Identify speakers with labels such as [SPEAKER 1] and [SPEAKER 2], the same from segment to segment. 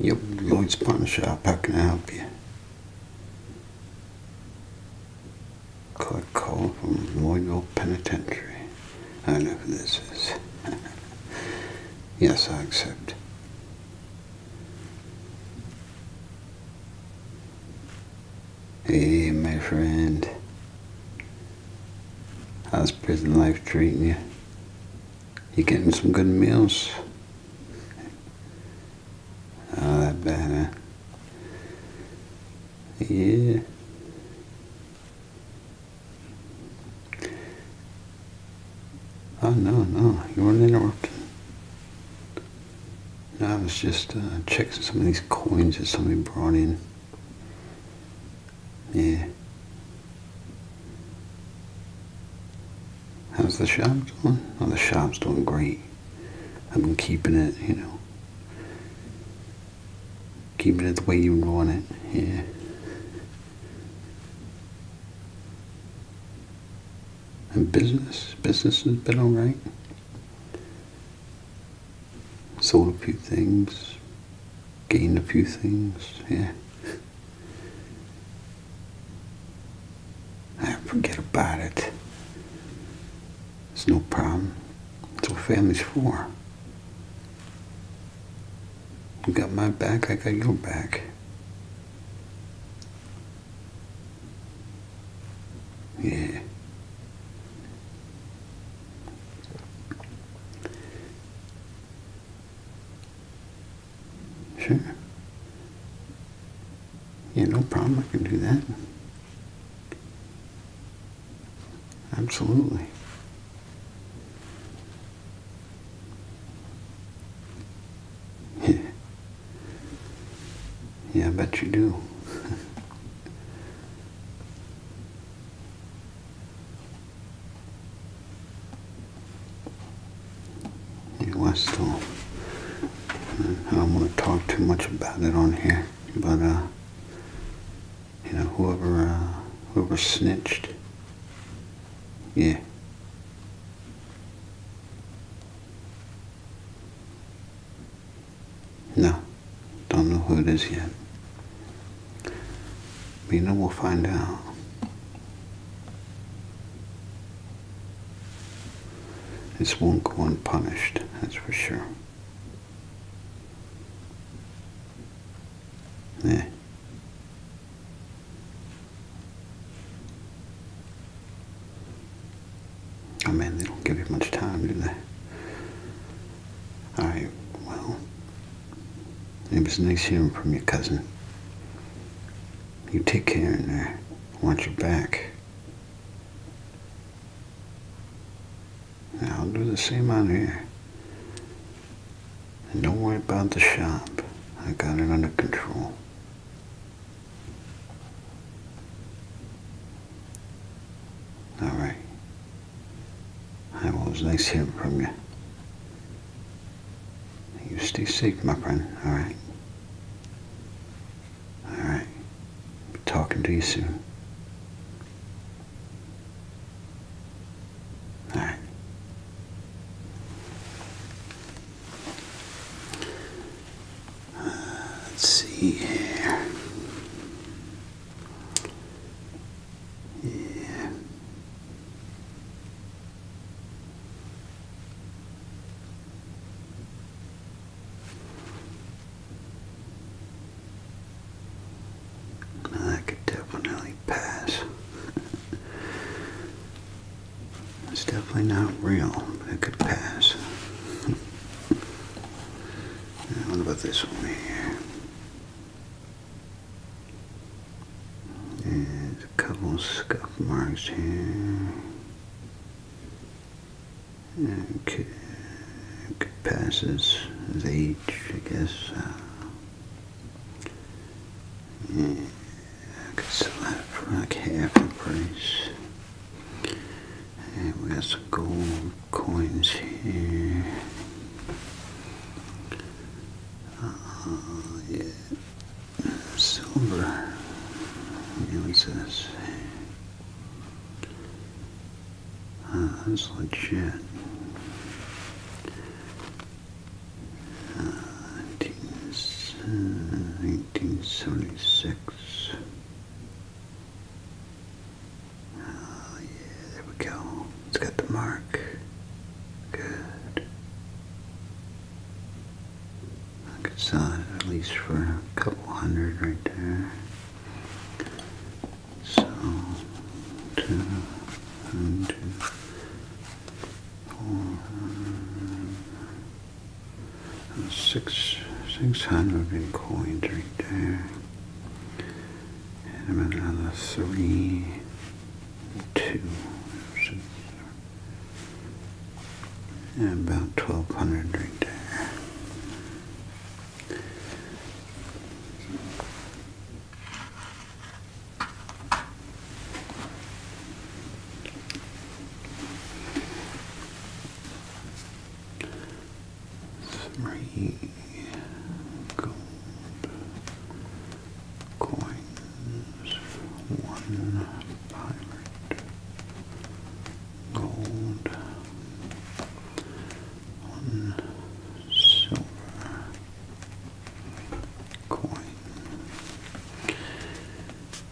[SPEAKER 1] Yep, Lloyd's Pawn how can I help you? Collect call from Lloydville Penitentiary. I know who this is. yes, I accept. Hey, my friend. How's prison life treating you? You're getting some good meals. Oh, that bad, Yeah. Oh, no, no, you weren't interrupted. No, I was just uh, checking some of these coins that somebody brought in. Yeah. How's the shop doing? Oh, the shop's doing great. I've been keeping it, you know, keeping it the way you want it, yeah. And business, business has been alright. Sold a few things, gained a few things, yeah. I ah, forget about it. It's no problem. That's what family's for. You got my back, I got your back. Yeah. Sure. Yeah, no problem. I can do that. Absolutely. Yeah. Yeah, I bet you do. Yeah, I don't want to talk too much about it on here, but uh, you know, whoever uh, whoever snitched, yeah. No, don't know who it is yet. Mina will find out. This won't go unpunished, that's for sure. Yeah. Oh man, they don't give you much time, do they? Alright, well, it was nice hearing from your cousin. You take care in there. Watch your back. I'll do the same on here. And don't worry about the shop. I got it under control. All right. I was nice hearing from you. You stay safe, my friend, alright? Alright. Be talking to you soon. Alright. let's see here. Yeah that could definitely pass. it's definitely not real, but it could pass. what about this one here? There's a couple scuff marks here. Okay, could pass age, I guess. yeah, uh, I could sell that for like half the price. And we got some gold coins here. Oh, yeah. Silver. You says. Ah, that's legit. 1976. Ah, yeah, there we go. It's got the mark. Good. I could sell at least for a couple hundred right there. So, two, one, two, four, six, six hundred in coins right there. And another three two. And about 1200 right there. Three gold coins, one pirate, gold, one silver coin.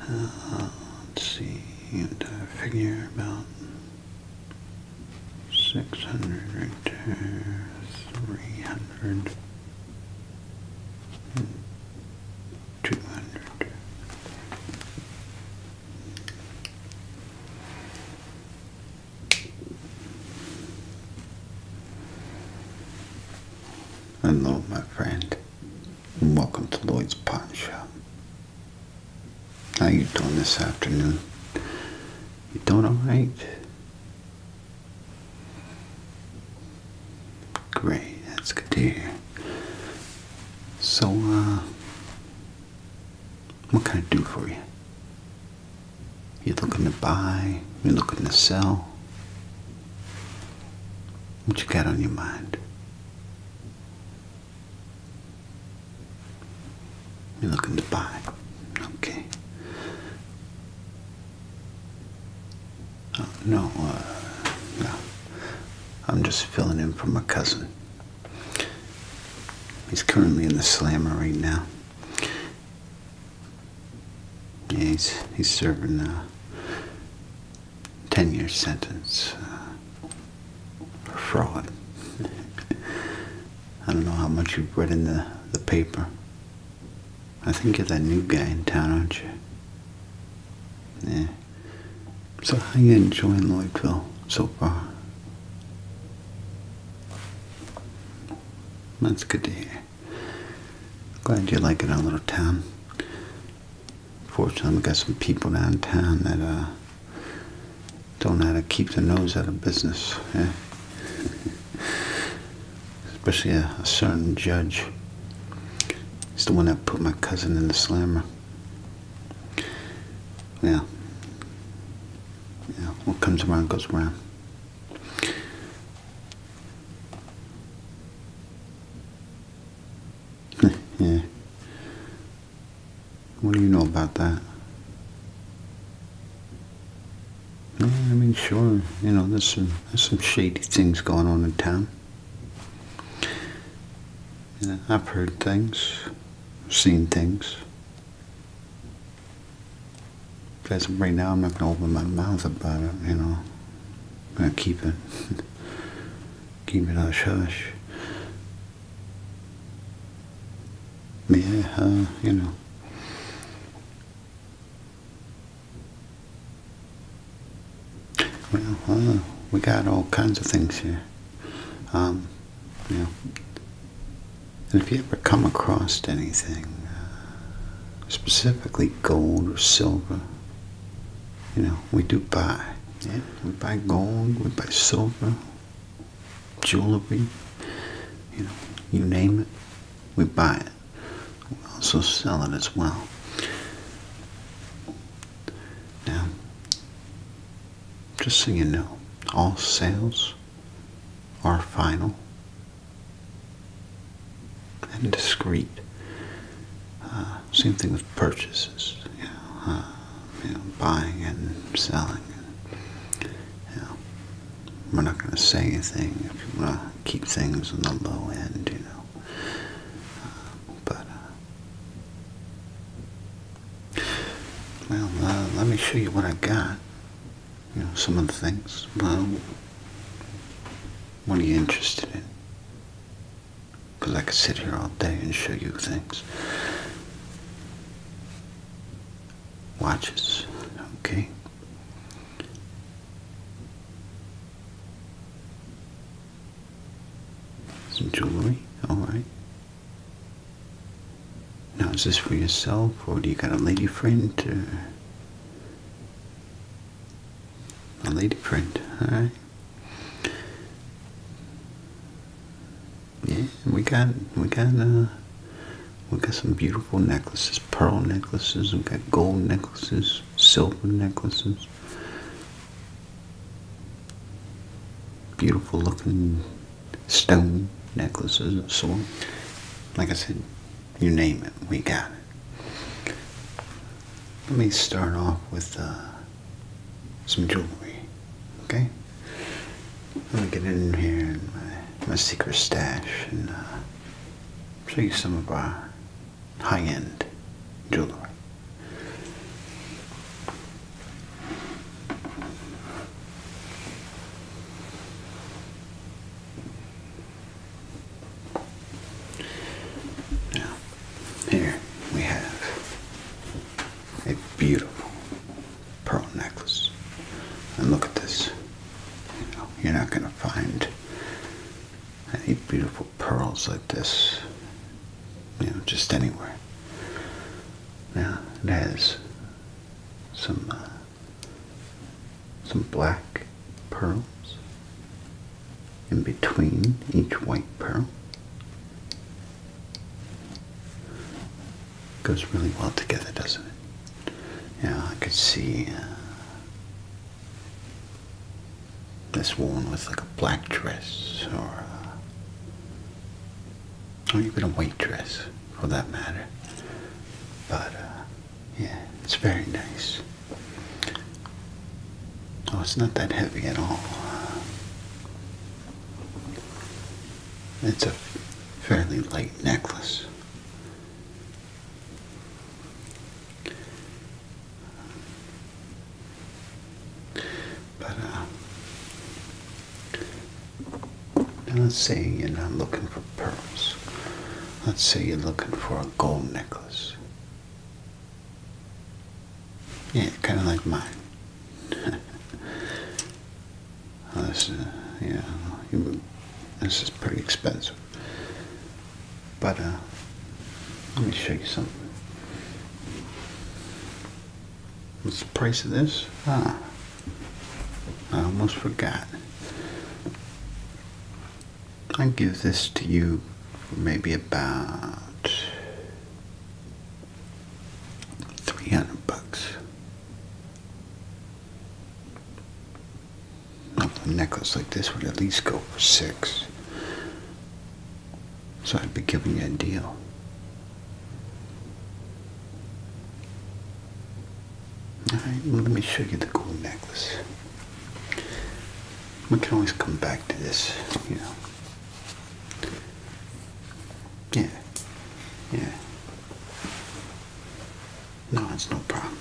[SPEAKER 1] let's see, entire figure about 600 right 300 hundred, two hundred. Hello, my friend, welcome to Lloyd's Pawn Shop. How you doing this afternoon? You doing all right? Great, that's good to hear. So, uh, what can I do for you? You're looking to buy, you're looking to sell. What you got on your mind? You're looking to buy. Okay. Oh, no, no. Uh, I'm just filling in for my cousin. He's currently in the slammer right now. Yeah, he's, he's serving a 10 year sentence uh, for fraud. I don't know how much you've read in the, the paper. I think you're that new guy in town, aren't you? Yeah. So how you enjoying Lloydville so far? That's good to hear. Glad you like it, our little town. Fortunately, we got some people downtown that uh, don't know how to keep their nose out of business. Yeah especially a, certain judge. He's the one that put my cousin in the slammer. Yeah. Yeah, what comes around goes around. yeah. What do you know about that? I mean, sure, you know, there's some, shady things going on in town. You know, I've heard things, seen things. But right now, I'm not going to open my mouth about it, you know. i keep it. keep it hush hush. Yeah, uh, you know. Well, uh, we got all kinds of things here. Um, you know, and if you ever come across anything, uh, specifically gold or silver, you know, we do buy. Yeah, we buy gold, we buy silver, jewelry, you know, you name it, we buy it. We also sell it as well. Now, just so you know, all sales are final and discreet. Uh, same thing with purchases, uh, you know, buying and selling. you know, we're not going to say anything if you want to keep things on the low end, you know. Uh, but, uh, well, uh, let me show you what I got. You know, some of the things. Well, what are you interested in? Because I could sit here all day and show you things watches. Okay. Some jewelry, alright. Now, is this for yourself or do you got a lady friend? A lady friend, alright yeah, we got we got uh, we got some beautiful necklaces, pearl necklaces. We got gold necklaces, silver necklaces. Beautiful looking stone necklaces and so on. Like I said, you name it, we got it. Let me start off with uh, some jewelry, okay? Let me get in here in my, my secret stash and uh, show you some of our high-end jewelry. Now, here we have a beautiful pearl necklace. And look at this. You know, you're not going to find any beautiful pearls like this, you know, just anywhere. Now, it has some, uh, some black pearls in between each white pearl. Goes really well together, doesn't it? Yeah, I could see uh, this woman with like a black dress, uh, or even a white dress, for that matter. But uh, yeah, it's very nice. Oh, it's not that heavy at all. It's a fairly light necklace. But, uh, let's say you're not looking for pearls. Let's say you're looking for a gold necklace. Yeah, kind of like mine. Oh, this, yeah, this is pretty expensive. But uh, let me show you something. What's the price of this? Ah, I almost forgot. I give this to you maybe about 300 bucks. A necklace like this would at least go for six. So I'd be giving you a deal. Alright, let me show you the cool necklace. We can always come back to this, you know. Yeah. Yeah. No, it's no problem.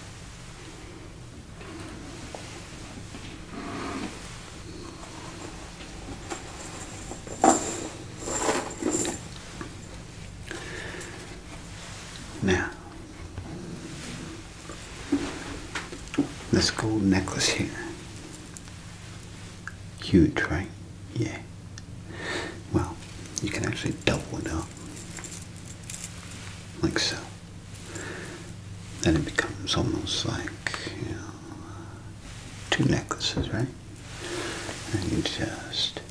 [SPEAKER 1] Now, this gold necklace here Huge, right? Yeah. Well, you can actually double it up. Like so. Then it becomes almost like, you know, two necklaces, right? And you just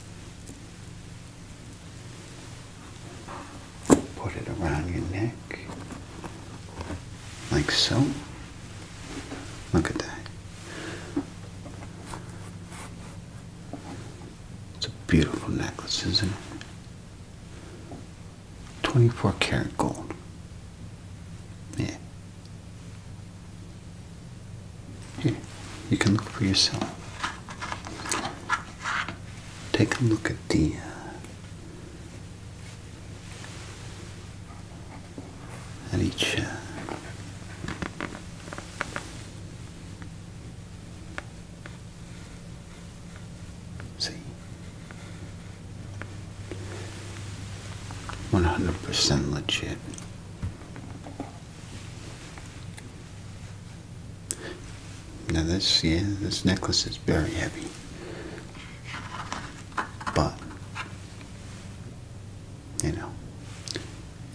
[SPEAKER 1] put it around your neck. Like so. Look at that. It's a beautiful necklace, isn't it? 24 karat gold. Yeah. Here, you can look for yourself. Take a look at the uh, at each uh, see 100% legit now this yeah this necklace is very heavy but you know,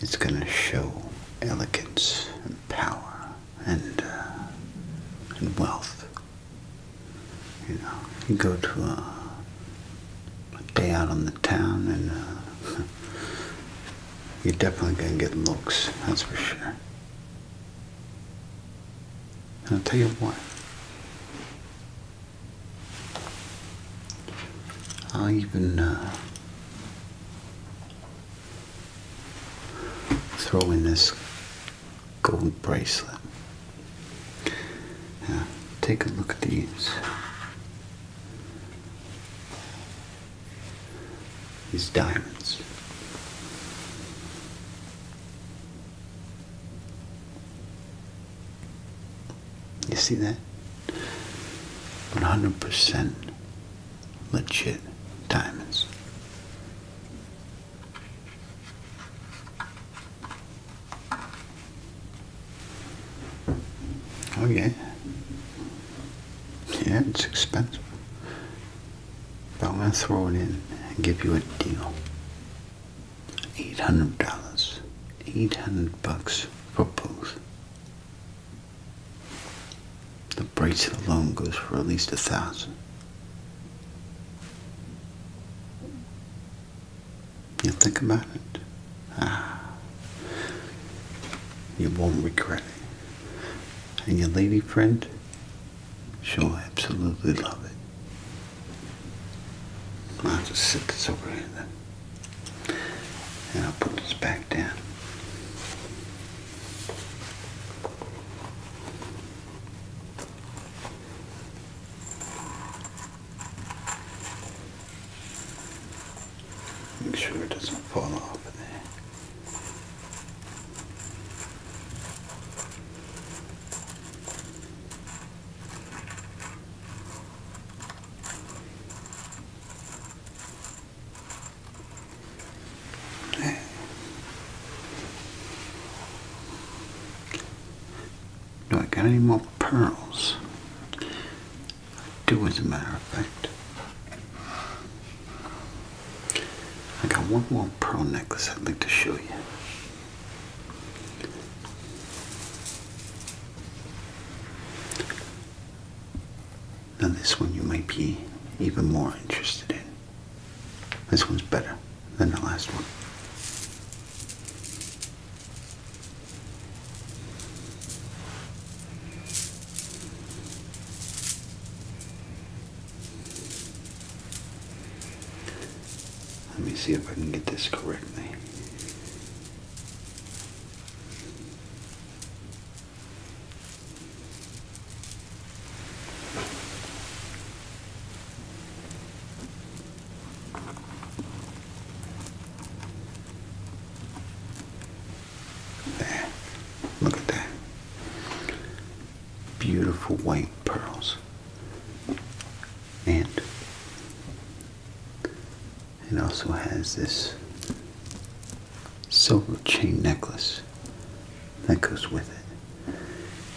[SPEAKER 1] it's going to show elegance and power and uh, and wealth. You know, you go to a, day out on the town and uh, you're definitely going to get looks, that's for sure. And I'll tell you what, I even uh, throw in this gold bracelet. take a look at these. These diamonds. You see that? 100% legit diamonds. Oh yeah. Yeah, it's expensive. But I'm gonna throw it in and give you a deal. Eight hundred dollars. Eight hundred bucks for both. The price alone goes for at least a thousand. You think about it. Ah, you won't regret it. And your lady friend, Sure, absolutely love it. I'll just sit this over here and I'll put this back down. Make sure it doesn't fall off of there. Do I got any more pearls? I do, as a matter of fact. I got one more pearl necklace I'd like to show you. Now this one you might be even more interested in. This one's better than the last one. Let me see if I can get this correctly. There, look at that. Beautiful white pearls. And it also has this silver chain necklace that goes with it.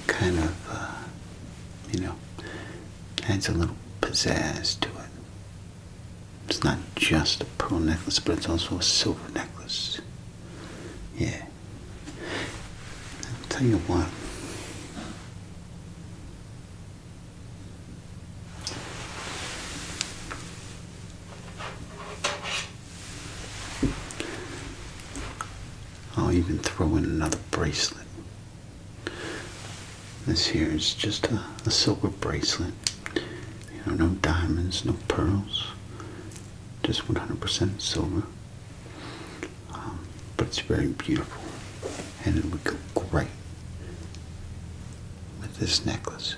[SPEAKER 1] Kind of, uh, you know, adds a little pizzazz to it. It's not just a pearl necklace, but it's also a silver necklace. Yeah. I'll tell you what. I'll even throw in another bracelet. This here is just a, silver bracelet. You know, no diamonds, no pearls. Just 100% silver. Um, but it's very beautiful. And it would go great with this necklace.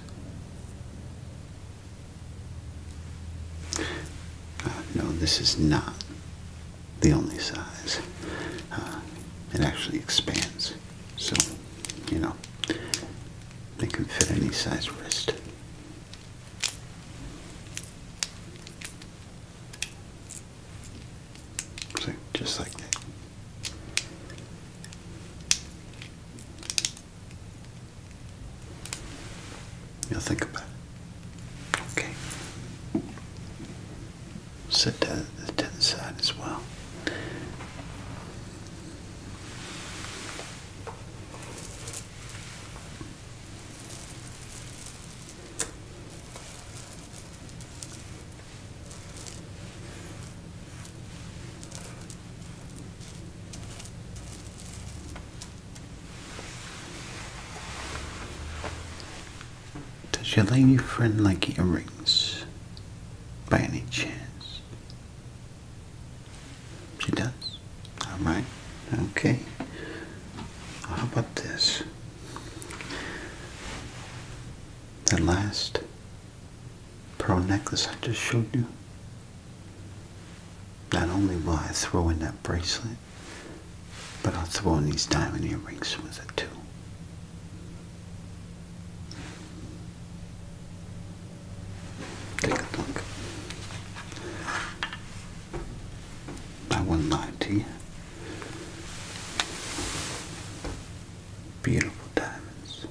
[SPEAKER 1] Uh, no, this is not the only size. Uh, it actually expands, so you know it can fit any size wrist. So just like that. You'll think about it. Okay. Set that to the side as well. Does your lady friend like earrings by any chance? She does? Alright, okay. How about this? the last pearl necklace I just showed you. Not only will I throw in that bracelet, but I'll throw in these diamond earrings with it too. Take a look. I would Beautiful diamonds.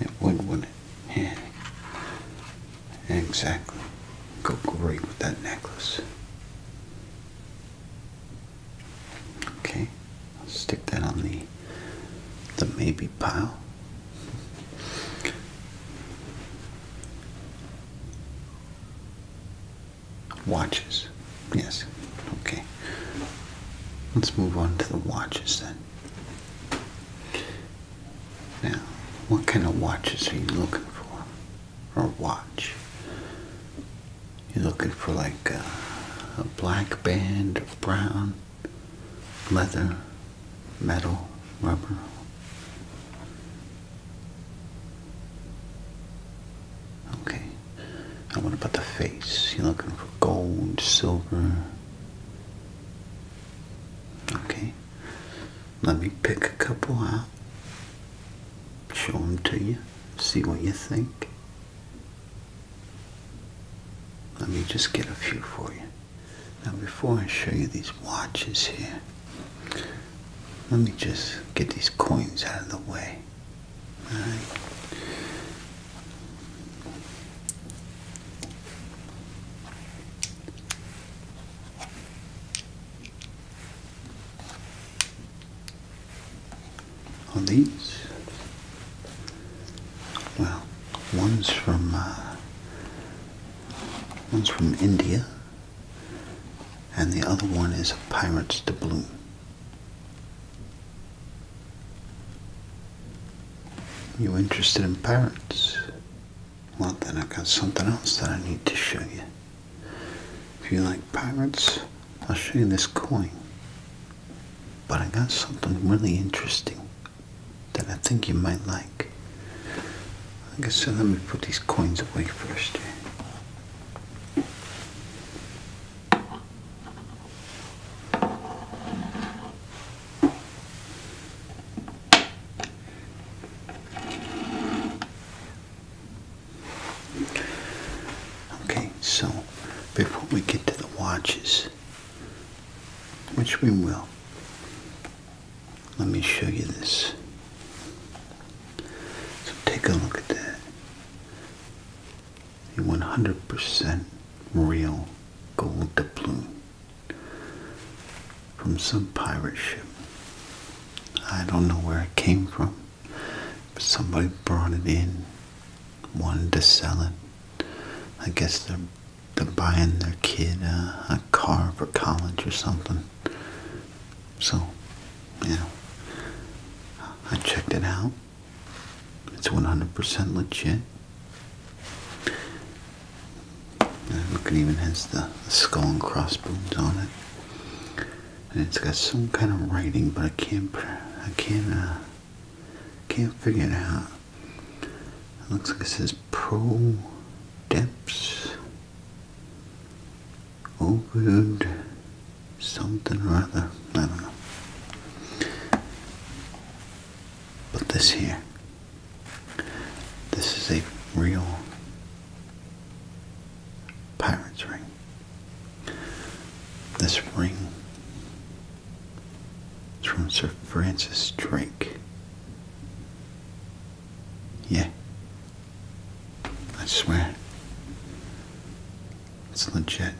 [SPEAKER 1] It would, wouldn't it? Yeah. Exactly. Go great with that necklace. Okay, I'll stick that on the the maybe pile. Watches. Yes. Okay. Let's move on to the watches then. Now, what kind of watches are you looking for? Or watch? You're looking for like a, black band, a brown, leather, metal, rubber. Okay. And what about the face? You're looking for gold, silver. Okay. Let me pick a couple out. Show them to you. See what you think. Let me just get a few for you. Now before I show you these watches here, let me just get these coins out of the way. On these? Well, One's from uh, one's from India, and the other one is a pirate's doubloon. You interested in pirates? Well, then I've got something else that I need to show you. If you like pirates, I'll show you this coin. But I got something really interesting that I think you might like. Like I said, let me put these coins away first Okay, so before we get to the watches, which we will. Let me show you this. So take a look at that. A 100% real gold doubloon from some pirate ship. I don't know where it came from. But somebody brought it in, wanted to sell it. I guess they're they buying their kid a, car for college or something. So, you know, I checked it out. It's 100% legit. it even has the, skull and crossbones on it, and it's got some kind of writing, but I can't, I can't uh, can't figure it out. looks like it says Pro Depths Opened something or other. I don't know. But this here, this is a real pirate's ring. This ring it's from Sir Francis Drake. Yeah. I swear. It's legit.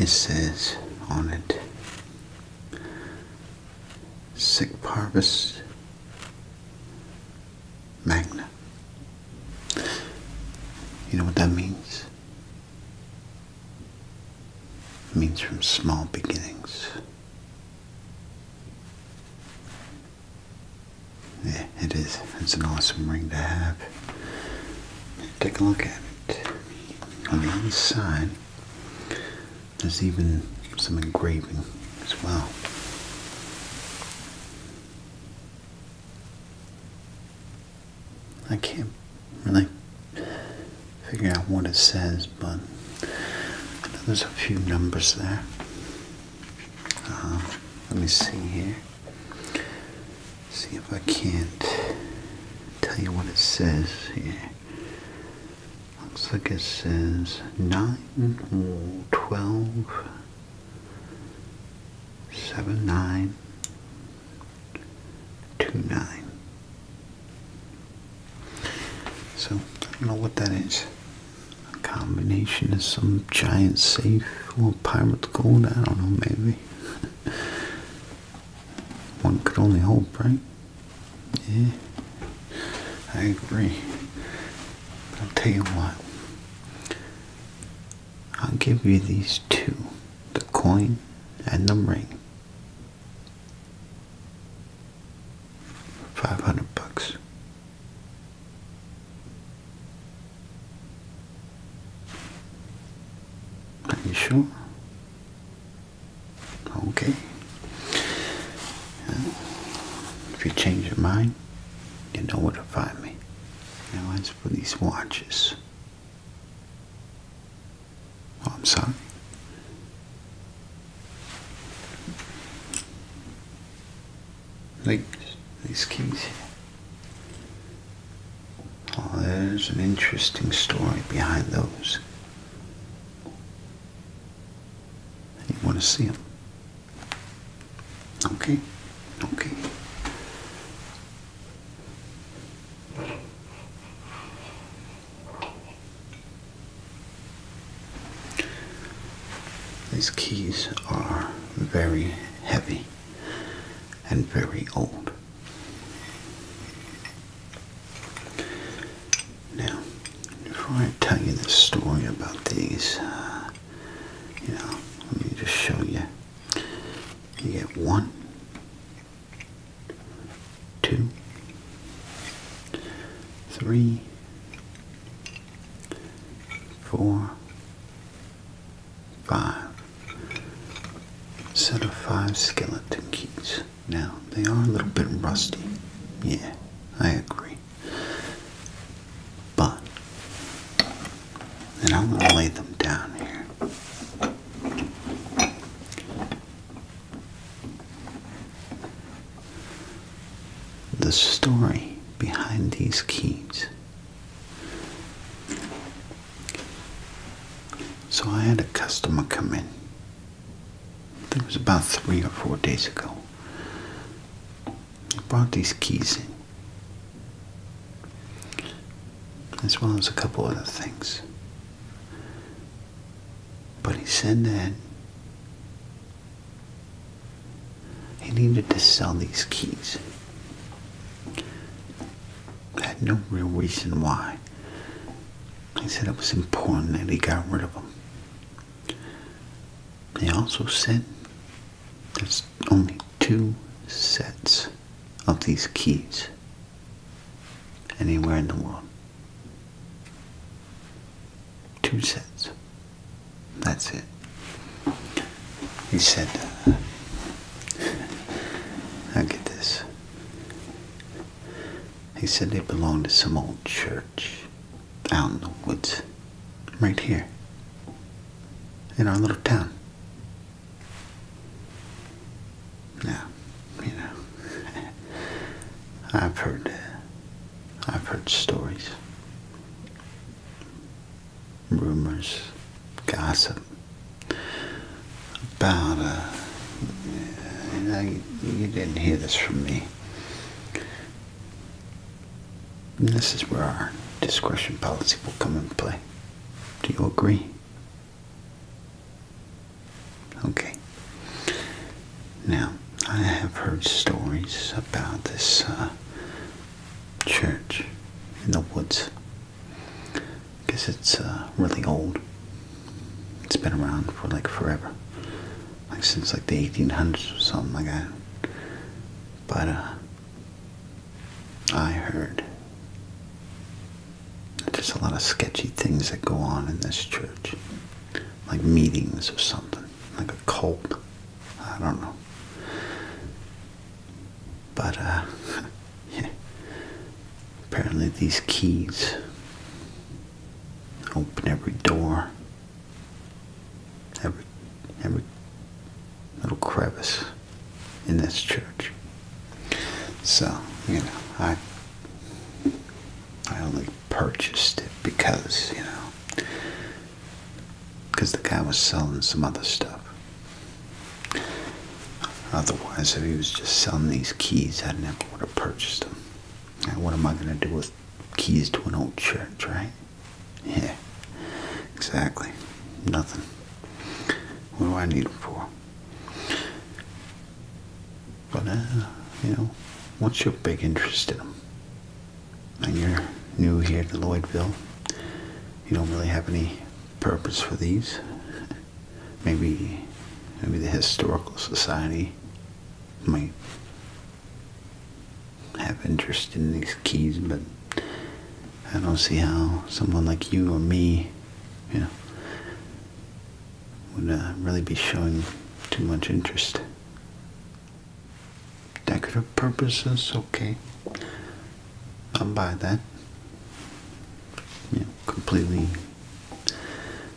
[SPEAKER 1] It says on it Sic Parvis Magna. You know what that means? It means from small beginnings. Yeah, it is. It's an awesome ring to have. Take a look at it. On the inside, there's even some engraving as well. I can't really figure out what it says, but there's a few numbers there. Uh-huh. let me see here. See if I can't tell you what it says here. Looks like it says 9 12, 7, 9, 29. So, I don't know what that is. A combination of some giant safe or pirate gold, I don't know, maybe. One could only hope, right? Yeah, I agree. But I'll tell you what. I'll give you these two, the coin and the ring. Five hundred bucks. Are you sure? Okay. If you change your mind, you know where to find me. Now as for these watches. I'm sorry. Like these kings Oh, there's an interesting story behind those. And you want to see them. Okay? Okay. These keys are very heavy and very old. Now, before I tell you the story about these, uh, you know, let me just show you. You get one, two, three, four, five. Set of five skeleton keys. Now, they are a little bit rusty. Yeah, I agree. But, and I'm going to lay them down here. The story behind these keys. So I had a customer come in. It was about three or four days ago. He brought these keys in as well as a couple other things. But he said that he needed to sell these keys. had no real reason why. He said it was important that he got rid of them. They also said there's only two sets of these keys anywhere in the world. Two sets. That's it. He said, uh, get this. He said they belonged to some old church out in the woods, right here, in our little town. Now, you know, I've heard, uh, I've heard stories, rumors, gossip about. Uh, you didn't hear this from me. this is where our discretion policy will come into play. Do you agree? Okay. Now, I have heard stories about this uh, church in the woods. I guess it's uh, really old. It's been around for like forever. Like since like the 1800s or something like that. But uh, I heard. There's a lot of sketchy things that go on in this church, like meetings or something, like a cult. I don't know. But, uh, Apparently, these keys open every door, every, every little crevice in this church. So, you know, I I only purchased it because, you know, because the guy was selling some other stuff. Otherwise, if he was just selling these keys, I never would have purchased them. what am I going to do with keys to an old church, right? Yeah, exactly. Nothing. What do I need them for? But, uh, you know, once you big interest in them and you're new here to Lloydville, you don't really have any purpose for these. Maybe, maybe the Historical Society might have interest in these keys, but I don't see how someone like you or me, you know, would uh, really be showing too much interest. Decorative purposes, okay. I'll buy that. You completely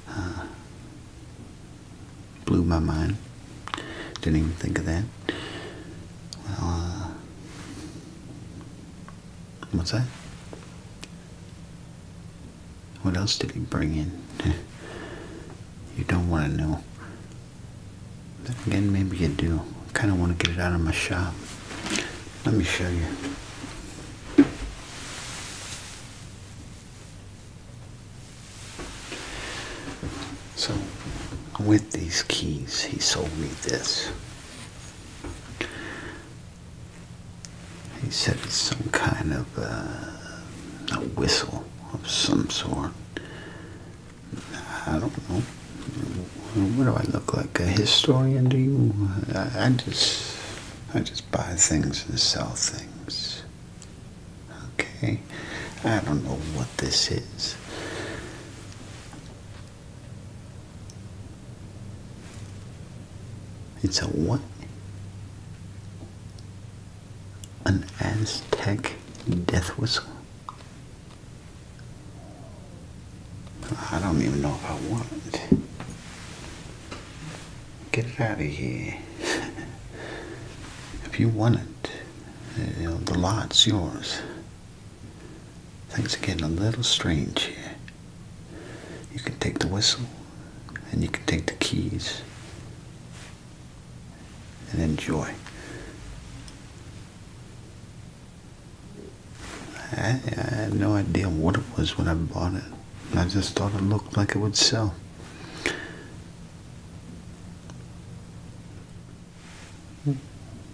[SPEAKER 1] uh, blew my mind. Didn't even think of that. Well, uh, What's that? What else did he bring in? you don't want to know. again, maybe you do. I kind of want to get it out of my shop. Let me show you. So, with these keys, he sold me this. He said it's some kind of uh, a whistle of some sort. I don't know. What do I look like? A historian? Do you? I, I just, I just buy things and sell things. Okay. I don't know what this is. It's a what? An Aztec death whistle? I don't even know if I want it. Get it out of here. if you want it, uh, the lot's yours. Things are getting a little strange here. You can take the whistle and you can take the keys and enjoy. I, had no idea what it was when I bought it. I just thought it looked like it would sell.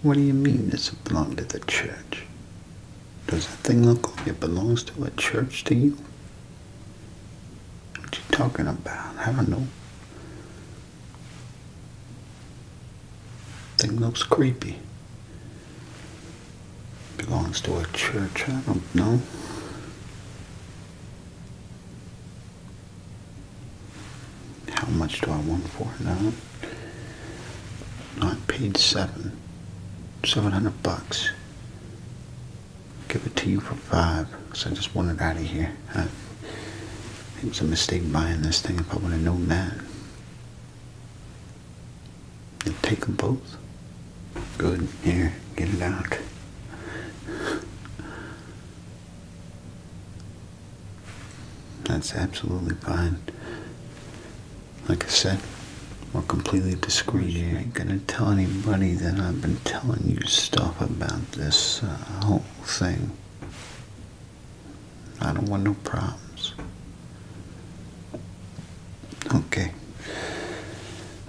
[SPEAKER 1] What do you mean doesn't belong to the church? Does that thing look like it belongs to a church to you? What you talking about? I don't know. Thing looks creepy. Belongs to a church, I don't know how much do I want for it? No. I paid seven. Seven hundred bucks. Give it to you for five, I just want it out of here. it was a mistake buying this thing if I would have known that. And take them both. Good. Here, get it out. That's absolutely fine. Like I said, we're completely discreet here. I ain't gonna tell anybody that I've been telling you stuff about this uh, whole thing. I don't want no problems. Okay.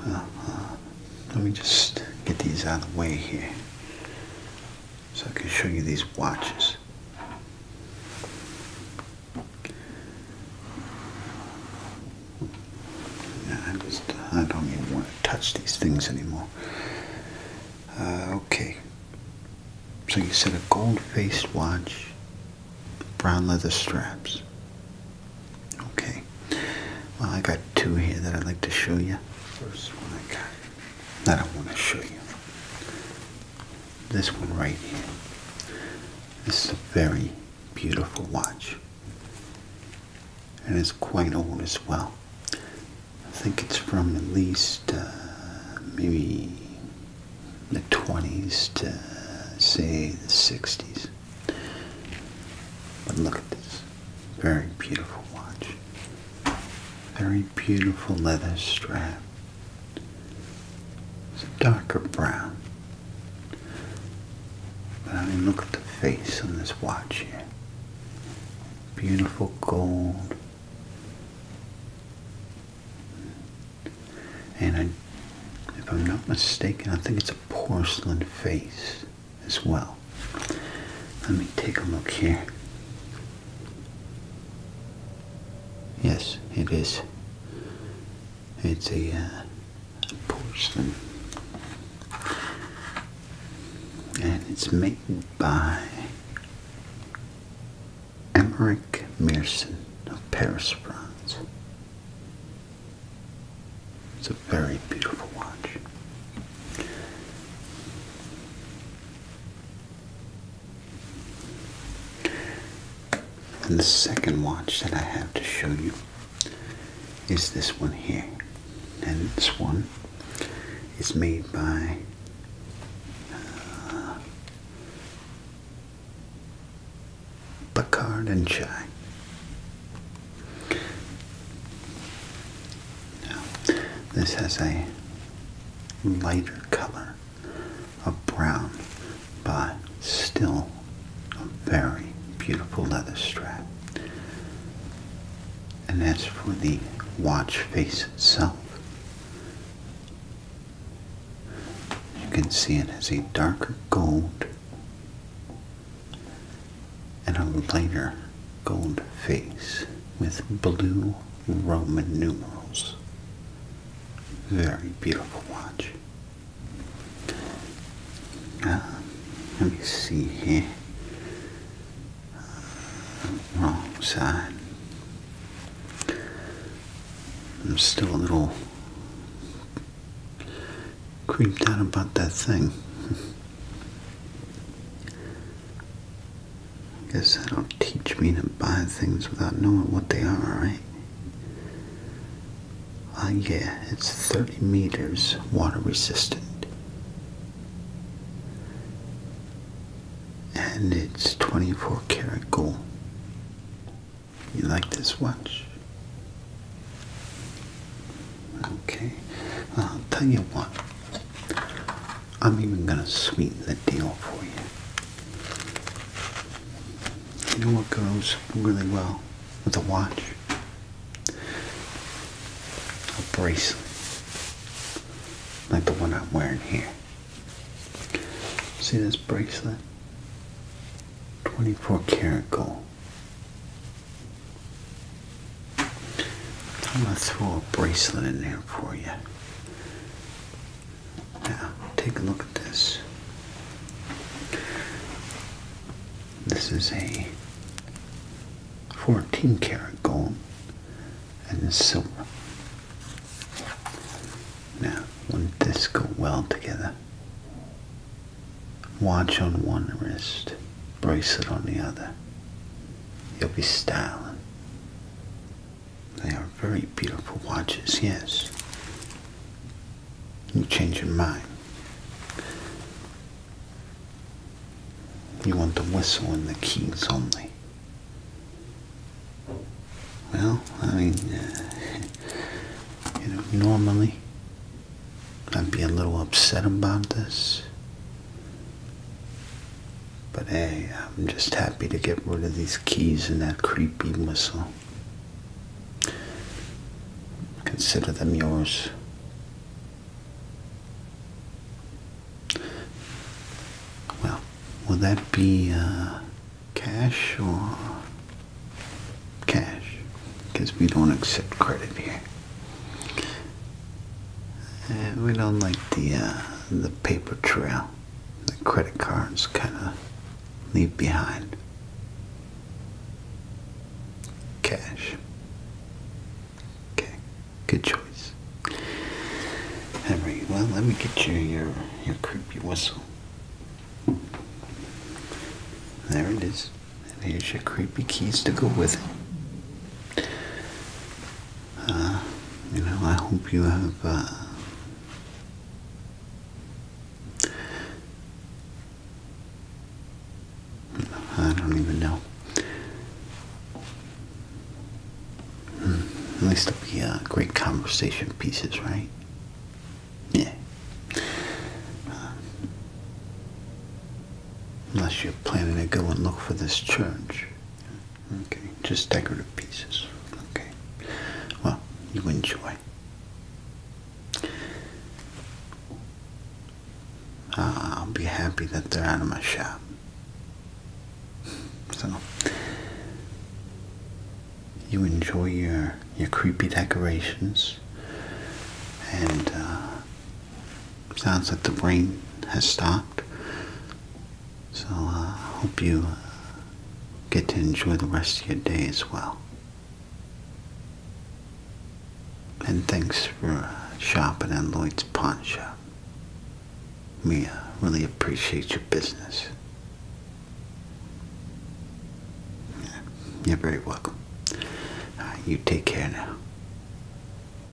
[SPEAKER 1] Uh, uh, let me just get these out of the way here so I can show you these watches. I just I don't even want to touch these things anymore. Uh, okay. So you said a gold faced watch, brown leather straps. Okay. Well, I got two here that I'd like to show you. First one I got that I want to show you. This one right here. This is a very beautiful watch. And it's quite old as well. I think it's from at least uh, maybe the 20s to say the 60s. But look at this. Very beautiful watch. Very beautiful leather strap. It's a darker brown. But I mean, look at the face on this watch here. Beautiful gold. And I, if I'm not mistaken, I think it's a porcelain face as well. Let me take a look here. Yes, it is. It's a uh, porcelain, and it's made by Emmerich Mearson of Paris, France. It's a very beautiful watch. And the second watch that I have to show you is this one here. And this one is made by uh, and Chai. Now, this has a lighter color a brown, but still a very beautiful leather strap. And as for the watch face itself, you can see it has a darker gold and a lighter gold face with blue Roman numerals. Very beautiful watch. Ah, let me see here. Wrong side. I'm still a little creeped out about that thing. Guess that'll teach me to buy things without knowing what they are, right? Uh, yeah, it's 30 meters water resistant. And it's 24 karat gold. You like this watch? Okay, I'll tell you what. I'm even going to sweeten the deal for you. You know what goes really well with a watch? A bracelet. Like the one I'm wearing here. See this bracelet? 24 karat gold. I'm gonna throw a bracelet in there for you. Now, take a look at this. This is a 14 karat gold and silver. Now, wouldn't this go well together? Watch on one wrist, bracelet on the other. You'll be styling. They are very beautiful watches, yes. You change your mind. You want the whistle and the keys only. Well, I mean, you know, normally I'd be a little upset about this. But hey, I'm just happy to get rid of these keys and that creepy whistle. Consider them yours. Well, will that be uh, cash or cash? Because we don't accept credit here. Uh, we don't like the uh, the paper trail the credit cards kind of leave behind. Cash. Okay, good choice. Henry, well, let me get you your, your creepy whistle. There it is. And here's your creepy keys to go with it. Uh, you know, I hope you have uh, I don't even know. At least it'll be uh, great conversation pieces, right? Yeah. Uh, unless you're planning to go and look for this church. Okay, just decorative pieces. Okay, well, you enjoy. Ah, I'll be happy that they're out of my shop. So, you enjoy your your creepy decorations, and uh, sounds like the rain has stopped. So I uh, hope you get to enjoy the rest of your day as well. And thanks for shopping at Lloyd's Pawn Shop. We uh, really appreciate your business. you're very welcome. you take care now.